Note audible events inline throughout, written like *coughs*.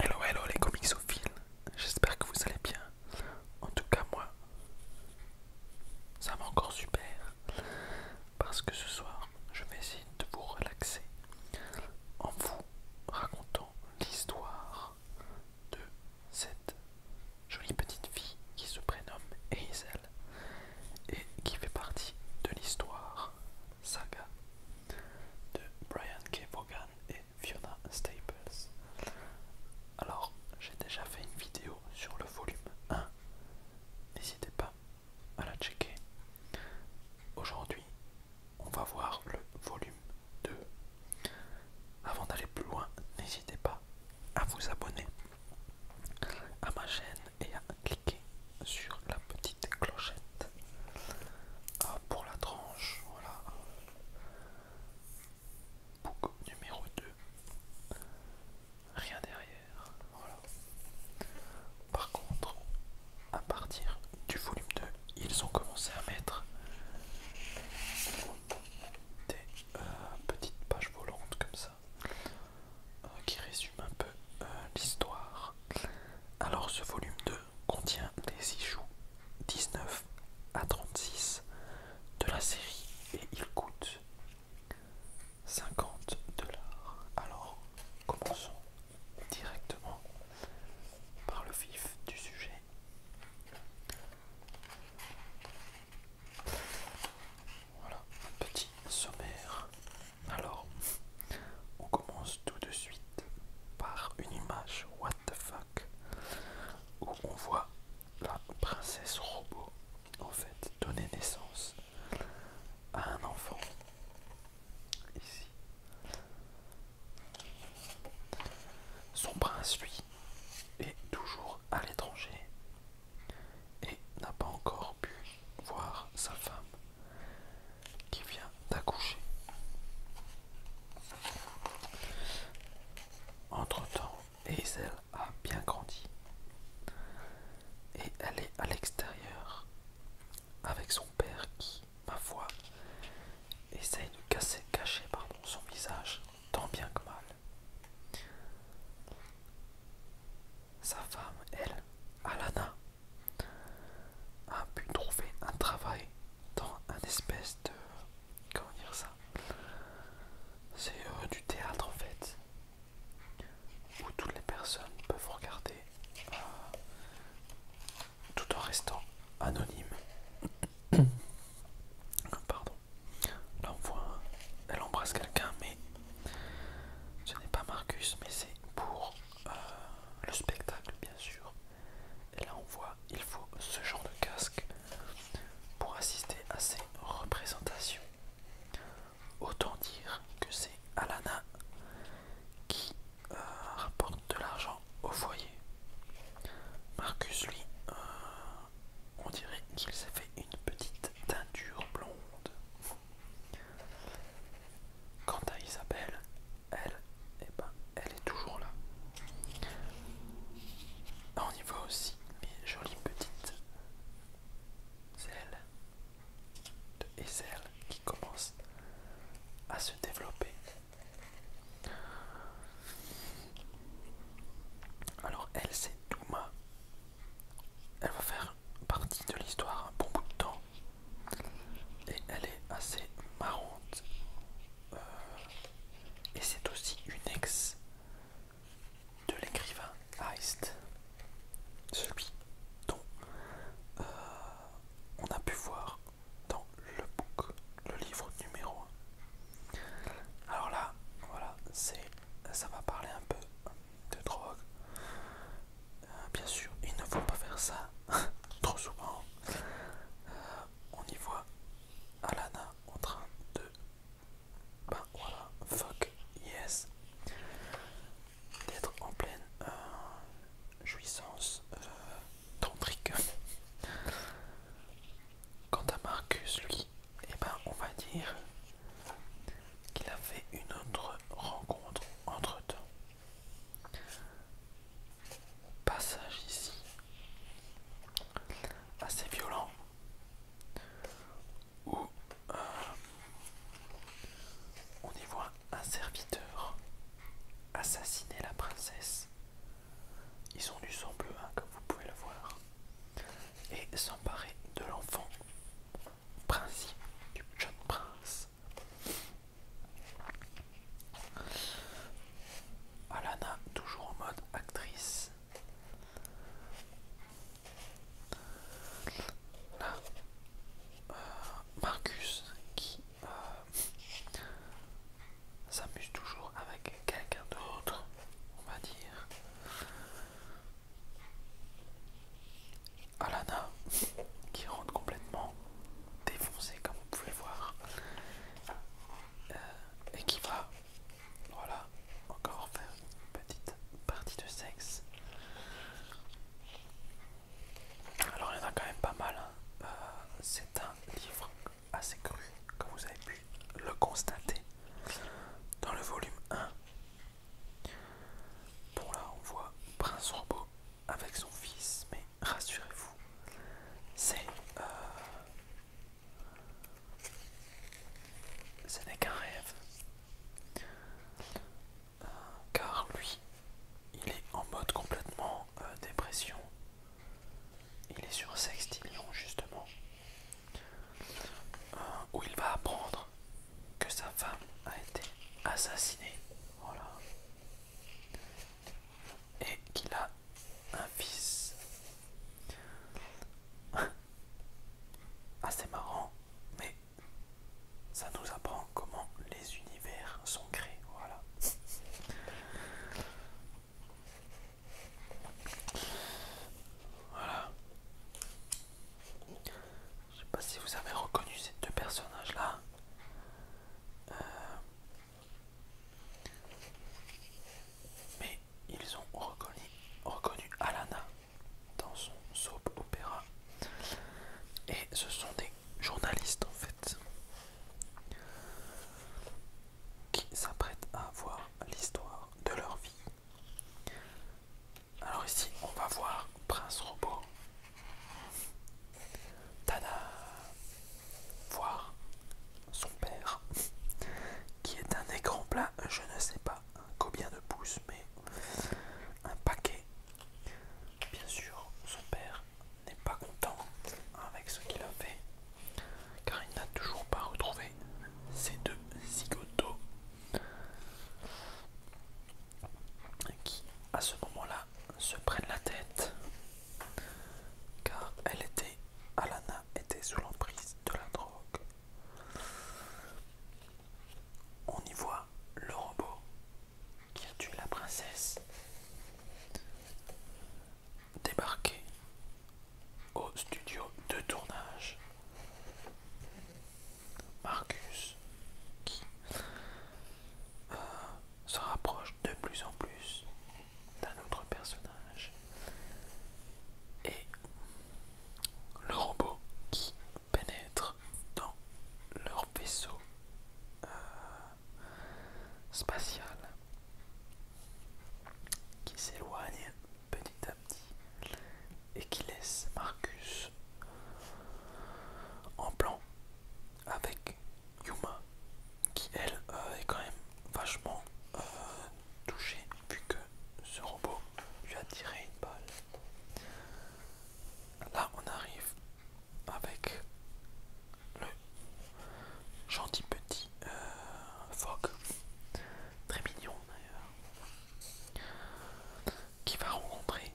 Hello hello les comicsophiles, j'espère que vous allez bien. En tout cas moi, ça va encore super parce que ce soir je vais essayer de vous relaxer en vous racontant l'histoire de cette jolie petite fille qui se prénomme Hazel et qui fait partie de l'histoire Saga de Brian K. Vaughan et Fiona Staples. Alors, j'ai déjà fait une vidéo sur le volume 1, n'hésitez pas à la checker. Aujourd'hui, on va voir le volume 2. Avant d'aller plus loin, n'hésitez pas à vous abonner à ma chaîne et à cliquer sur la petite clochette ah, pour la tranche. Voilà. Bouc numéro 2. Rien derrière. Voilà. Par contre, à partir du volume 2, ils ont commencé à mettre des euh, petites pages volantes comme ça euh, qui résume un peu euh, l'histoire. Alors ce volume 2 contient les issues 19 à 36 de la série et il coûte 50 dollars. Alors commençons directement par le vif du sujet. Voilà un petit sommaire alors, on commence tout de suite par une image What the fuck où on voit la princesse robot en fait donner naissance à un enfant ici. Son prince lui est toujours à l'étranger et n'a pas encore pu voir sa femme qui vient d'accoucher. Entre-temps, Hazel a bien grandi et elle est à l'extérieur avec son père qui, ma foi, essaye de cacher son visage tant bien que mal. Sa femme, elle, Alana, a pu trouver un travail dans un espèce de... Comment dire ça C'est euh, du théâtre en fait, où toutes les personnes peuvent regarder euh, tout en restant anonyme. *coughs* Pardon. Là on voit, elle embrasse quelqu'un, mais ce n'est pas Marcus, mais c'est pour le spectacle bien sûr. Et là on voit, il faut ce genre de casque pour assister à ces représentations. Autant dire que c'est Alana qui euh, rapporte de l'argent au foyer. Marcus lui, euh, on dirait qu'il s'est fait une petite teinture blonde. Quant à Isabelle, elle, eh ben, elle est toujours là. On y voit aussi mes jolies petites ailes de elle qui commencent à se développer. Alors elle c'est Douma. Elle va faire partie de l'histoire un bon bout de temps et elle est assez marrante euh, et c'est aussi une ex de l'écrivain Heist celui dont euh, on a pu voir dans le book le livre numéro 1 alors là voilà c'est ça va parler un peu de drogue euh, bien sûr, il ne faut pas faire ça *laughs* trop souvent. Euh, on y voit Alana en train de... Ben voilà, fuck yes. D'être en pleine euh, jouissance tantrique. *laughs* Quant à Marcus, lui, eh ben, on va dire qu'il a fait une autre rencontre entre temps. Passage ici assez violent où euh, on y voit un serviteur assassiner la princesse. Ils ont du sang bleu, hein, comme vous pouvez le voir, et s'emparer de l'enfant principe du jeune prince. Alana, toujours en mode actrice. Euh, Marcus qui euh, s'amuse toujours avec quelqu'un d'autre, on va dire. Alana qui rentre complètement défoncée comme vous pouvez voir euh, et qui va voilà encore faire une petite partie de sexe. Alors il y en a quand même pas mal. Hein. Euh, c'est un livre assez cru comme vous avez pu le constater dans le volume 1. Bon là on voit Prince Robot avec son fils, mais rassurez-vous, c'est euh, ce n'est qu'un rêve, euh, car lui, il est en mode complètement euh, dépression. Il est sur Sextilion justement, où il va apprendre que sa femme a été assassinée. Voilà. Et qu'il a un fils. *laughs* Assez marrant, mais ça nous apprend comment les univers sont créés. Voilà. Voilà. Je ne sais pas si vous avez reconnu ces deux personnages là. Euh, mais ils ont reconnu, reconnu Alana dans son soap opéra. Et ce sont des journalistes en fait qui s'apprêtent à voir l'histoire de leur vie alors ici, on va voir Prince Robot. Tada Voir son père, qui est un écran plat, je ne sais pas combien de pouces, mais un paquet. Bien sûr, son père n'est pas content avec ce qu'il a fait, car il n'a toujours pas retrouvé ses deux zigotos qui à ce moment-là se prennent la tête car elle était, Alana était sous l'emprise de la drogue. On y voit le robot qui a tué la princesse débarquer au studio de tournage Marcus qui euh, se rapproche de plus en plus d'un autre personnage et le robot qui pénètre dans leur vaisseau euh, spatial qui s'éloigne petit à petit et qui laisse Marcus en plan avec Yuma qui elle euh, est quand même vachement euh, touchée vu que ce robot lui a tiré une balle. Là on arrive avec le gentil petit phoque, euh, très mignon d'ailleurs, qui va rencontrer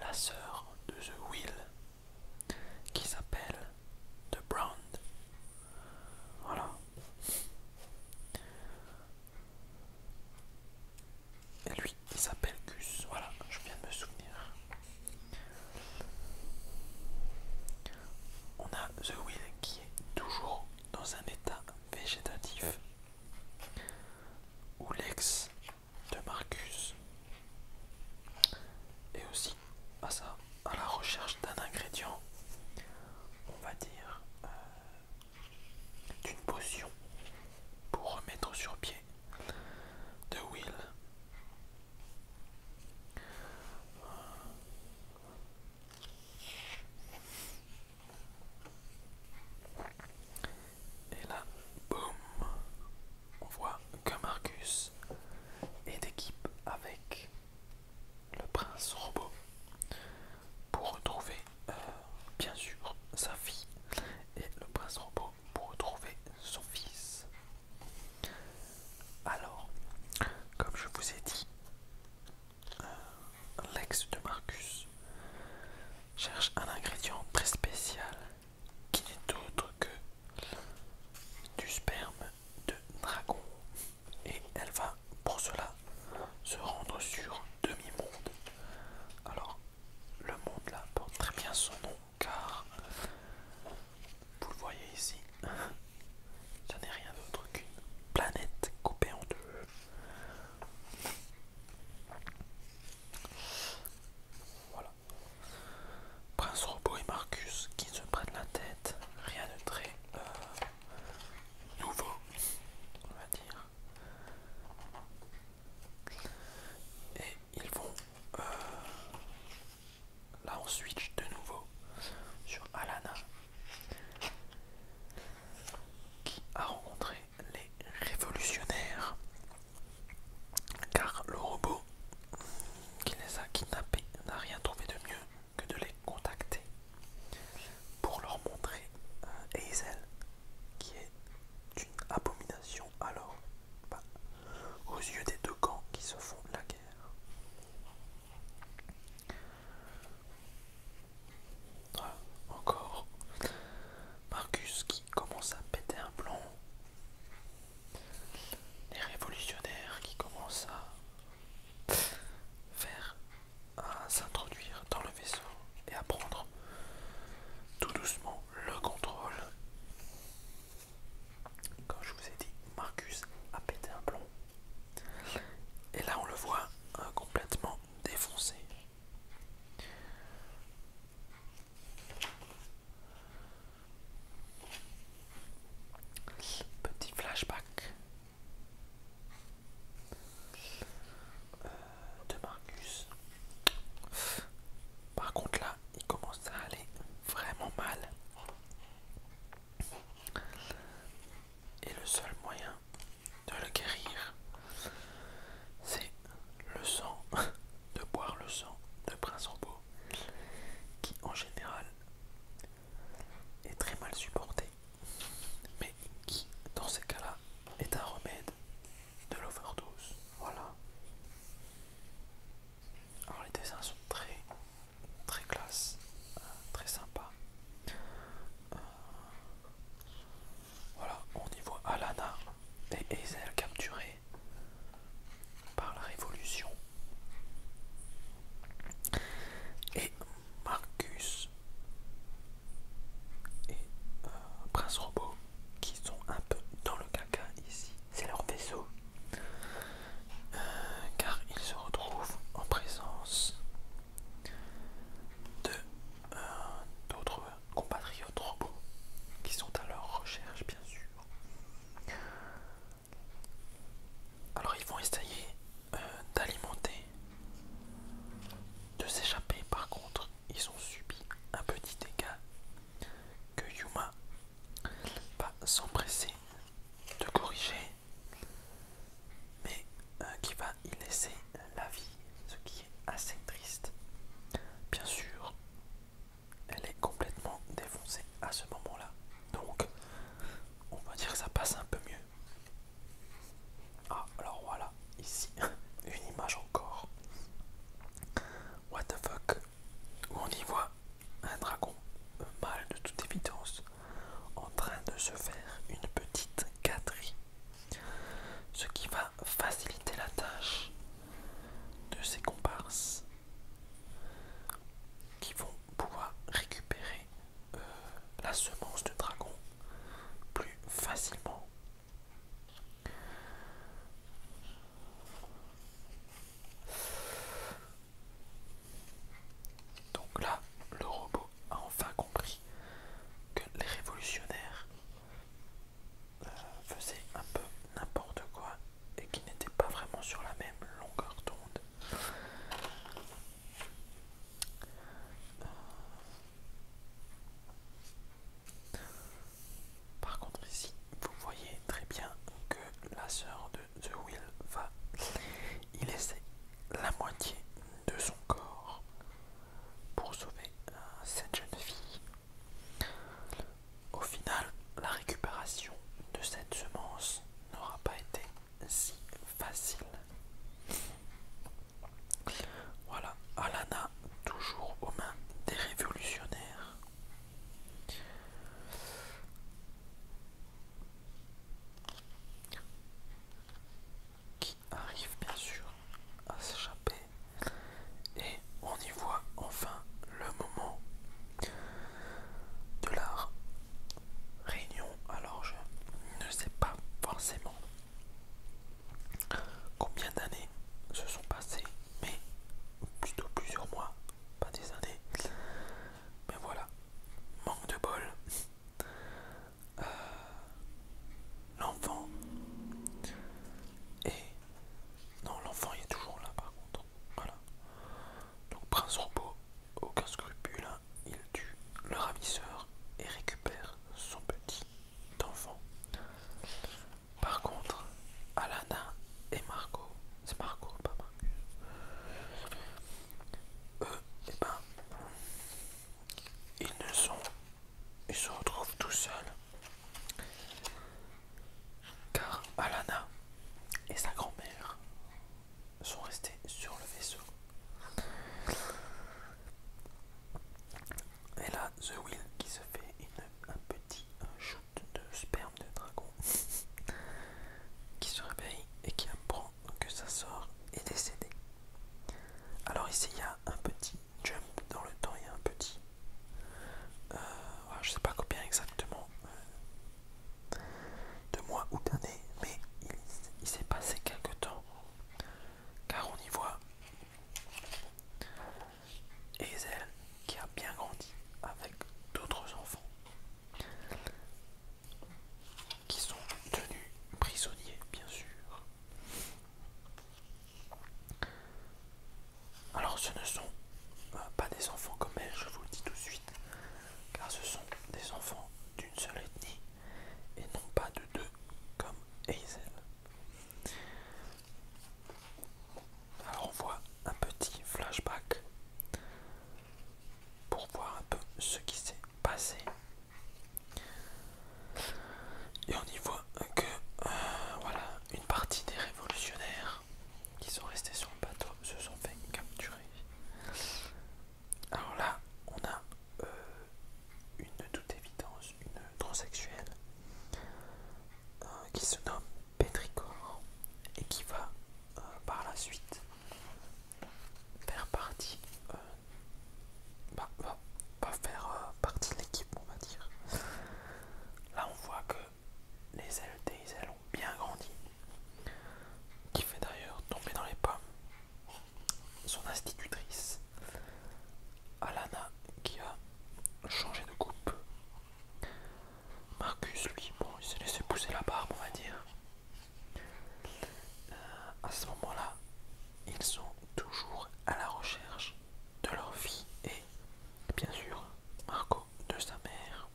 la sœur de The Will, qui s'appelle The Brown. Voilà. Et lui, il s'appelle Gus. Voilà, je viens de me souvenir. On a The Will qui est toujours dans un état végétatif où l'ex de Marcus et aussi à ça à la recherche d'un ingrédient on va dire euh, d'une potion pour remettre sur pied de Will et là, boum, on voit que Marcus est d'équipe avec le prince robot pour retrouver, euh, bien sûr, sa fille et le prince robot pour retrouver son fils. Alors, comme je vous ai dit, euh, l'ex de Marcus cherche un ingrédient très spécial qui n'est autre que du sperme de dragon. Et elle va pour cela se rendre sur demi-monde. Alors le monde là porte très bien son nom car vous le voyez ici, *laughs* ça n'est rien d'autre qu'une planète coupée en deux. Voilà. Prince Robot et Marcus qui se prennent la tête. Rien de très euh, nouveau, on va dire. Et ils vont... Euh, là on switch de nouveau sur Alana qui a rencontré les révolutionnaires car le robot qui les a kidnappés n'a rien trouvé de mieux que de les contacter pour leur montrer euh, Hazel qui est une abomination alors bah, aux yeux des deux camps qui se font la guerre. Ah, encore Marcus qui commence à péter un plomb, les révolutionnaires qui commencent à faire à s'introduire dans le vaisseau et à prendre tout doucement le contrôle. Comme je vous ai dit, Marcus a pété un plomb. Et là on le voit euh, complètement défoncé. Petit flashback euh, de Marcus. Par contre là, il commence à aller vraiment mal. Et le seul moyen de le guérir, c'est le sang, *laughs* de boire le sang de Prince Robot qui en général est très mal supporté, mais qui dans ces cas-là est un remède de l'overdose. Voilà. Alors les dessins sont très très classe, euh, très sympa. Euh, voilà, on y voit Alana et Hazel capturés par la Révolution. Et Marcus et euh, Prince Robot qui sont un peu dans le caca ici. C'est leur vaisseau. Euh, car ils se retrouvent en présence de euh, d'autres compatriotes robots qui sont à leur recherche, bien sûr. Alors ils vont essayer euh, d'alimenter, de s'échapper. Par contre, ils ont subi un petit dégât que Yuma va s'empresser de corriger, mais euh, qui va y laisser la vie, ce qui est assez triste. Bien sûr, elle est complètement défoncée à ce moment-là. Donc, on va dire que ça passe un peu mieux. Ah, alors voilà, ici, *laughs* une image encore. What the fuck on y voit un dragon mâle de toute évidence en train de se faire une petite gâterie. Ce qui va faciliter la tâche de ces comparses qui vont pouvoir récupérer euh, la semence de dragon plus facilement. Donc là, le robot a enfin compris que les révolutionnaires euh, faisait un peu n'importe quoi et qui n'était pas vraiment sur la même longueur d'onde. Euh, par contre ici, vous voyez très bien que la sœur de The Will va il laisser la moitié de son corps pour sauver euh, cette jeune fille au final, la récupération de cette semence n'aura pas été si facile. Voilà, Alana toujours aux mains des révolutionnaires. Qui arrive bien sûr à s'échapper et on y voit enfin le moment de la réunion. Alors je ne sais pas forcément combien d'années se sont passées, mais plutôt plusieurs mois, pas des années. Mais voilà, manque de bol. Euh, l'enfant et non, l'enfant il est toujours là par contre. Voilà. Donc Prince Robot, aucun scrupule, hein. il tue le ravisseur et récupère son petit enfant. Par contre, Alana et Marco, c'est Marco, pas Marcus. Eux, et eh ben, ils ne sont, ils se retrouvent tout seuls car Alana et sa grand-mère sont restés sur le vaisseau. Et là, The Will qui se fait une, un petit shoot de sperme de dragon *laughs* qui se réveille et qui apprend que sa sœur est décédée. Alors ici, il y a un petit dans le temps, il y a un petit. Euh, je sais pas combien exactement euh, de mois ou d'années, mais il, s'est passé quelque temps car on y voit Hazel qui a bien grandi avec d'autres enfants qui sont tenus prisonniers bien sûr alors ce ne sont euh, pas des enfants comme elle, je vous le dis tout de suite, car ce sont des enfants d'une seule ethnie et non pas de deux comme Hazel. Alors on voit un petit flashback pour voir un peu ce qui s'est passé et on y voit que euh, voilà une partie des révolutionnaires qui sont restés sur le bateau se sont fait capturer. Alors là, on a euh, une toute évidence une transsexuelle euh, qui se nomme Pétricor et qui va par la suite faire partie bah, faire partie de l'équipe on va dire Là on voit que les ailes des ailes ont bien grandi, qui fait d'ailleurs tomber dans les pommes son institutrice Alana qui a changé de coupe. Marcus lui, bon il s'est laissé pousser la barbe on va dire. Euh, à ce moment-là, ils sont toujours à la recherche de leur vie et bien sûr Marco, de sa mère.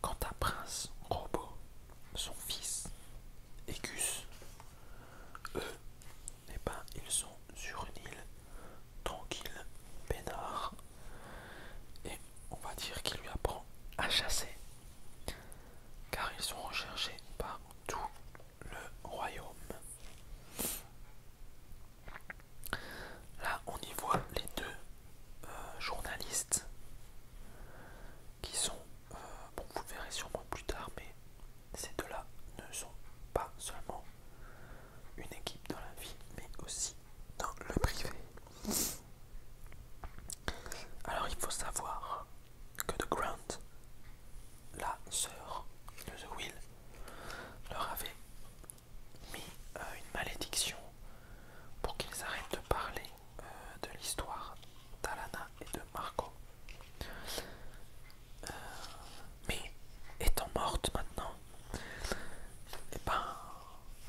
Quant à Prince Robot, son fils Ecus, eux, eh ben, ils sont sur une île tranquille, peinard, et on va dire qu'il lui apprend à chasser, car ils sont recherchés partout le royaume. Là, on y voit les deux euh, journalistes qui sont, euh, bon vous le verrez sûrement plus tard, mais ces deux-là ne sont pas seulement une équipe dans la vie, mais aussi dans le privé. Alors il faut savoir que de Grant, la sœur de The Will, leur avait mis euh, une malédiction pour qu'ils arrêtent de parler euh, de l'histoire d'Alana et de Marco. Euh, mais étant morte maintenant, eh ben,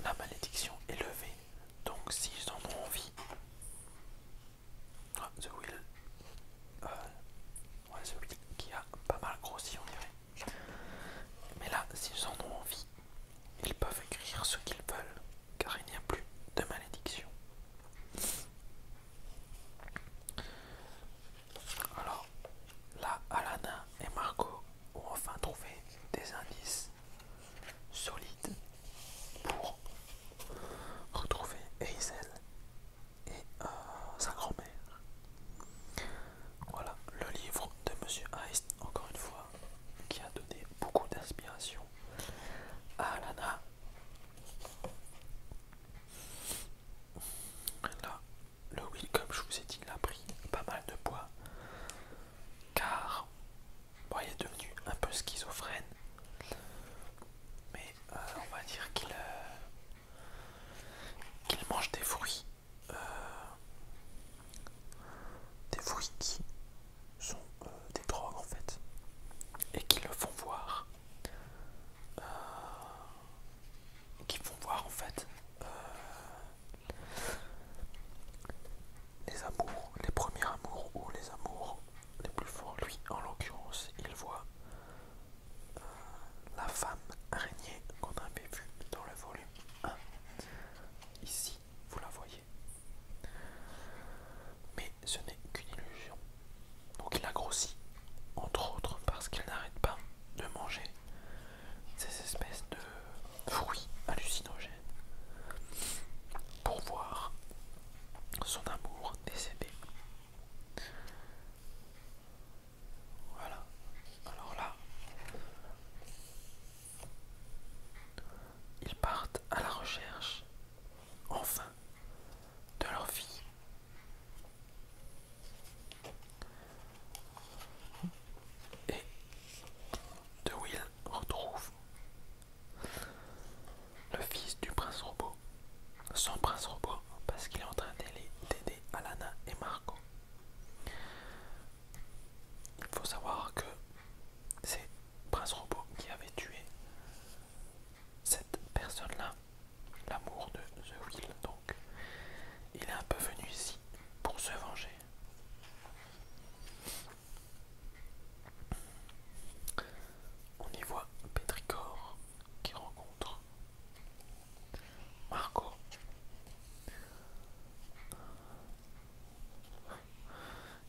la malédiction est levée. Donc s'ils en ont envie, ah, The Will. Euh, The qui a pas mal grossi, on dirait. Mais là, s'ils en ont envie, ils peuvent écrire ce qu'ils veulent, car il n'y a plus de malédiction. Alors, là, Alana et Marco ont enfin trouvé des indices solides pour retrouver Hazel et euh, sa grand-mère. Voilà le livre de Monsieur Heist, encore une fois, qui a donné beaucoup d'inspiration à Lana. Là, le Will, comme je vous ai dit, il a pris pas mal de poids car il est devenu un peu schizophrène. Mais euh, on va dire qu'il euh, mange des fruits. Euh, des fruits qui sont des drogues en fait. Et qui le font voir. qui font voir en fait les amours, les premiers amours ou les amours les plus forts. Lui en l'occurrence il voit la femme araignée qu'on avait vue dans le volume 1. Ici, vous la voyez. Mais ce n'est qu'une illusion. Donc il a grossi, entre autres parce qu'il n'arrête pas de manger ces espèces de fruits hallucinogènes pour voir son amour décéder. Voilà. Alors là, ils partent à la recherche, enfin, de leur fille. Et De ils retrouve le fils du prince robot. Son prince robot, parce qu'il est en train d'aider Alana et Marco. Il faut savoir que c'est Prince Robot qui avait tué cette personne-là, l'amour de The Will. Donc, il est un peu venu ici pour se venger. On y voit Pétricor qui rencontre. Marco.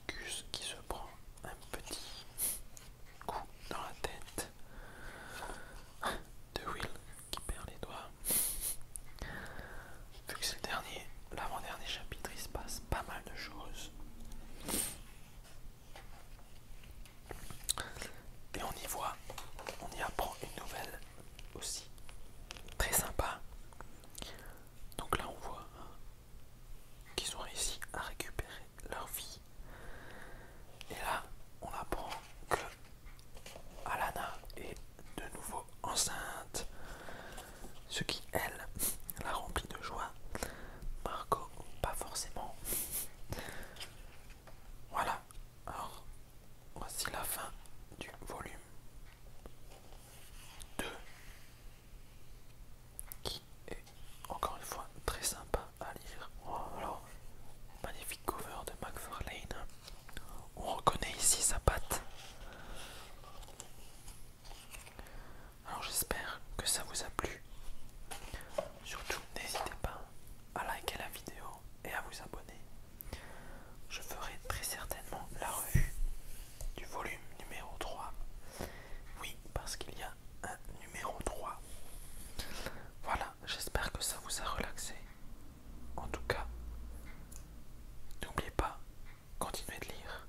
Gus qui se prend un petit coup dans la tête de Will qui perd les doigts. Vu que c'est le dernier, l'avant-dernier chapitre, il se passe pas mal de choses. Et on y voit, on y apprend une nouvelle aussi très sympa. Donc là on voit hein, qu'ils ont réussi à récupérer leur vie. Et là on apprend que Alana est de nouveau enceinte. Ce qui elle la remplit de joie. Marco, pas forcément. Voilà, alors voici la fin du volume 2 qui est encore une fois très sympa à lire. Oh, alors, magnifique cover de McFarlane. On reconnaît ici sa patte. Alors j'espère que ça vous a plu. Surtout n'hésitez pas à liker la vidéo et à vous abonner. Je ferai très certainement la revue du volume numéro 3. Oui, parce qu'il y a un numéro 3. Voilà, j'espère que ça vous a relaxé. En tout cas, n'oubliez pas, continuez de lire.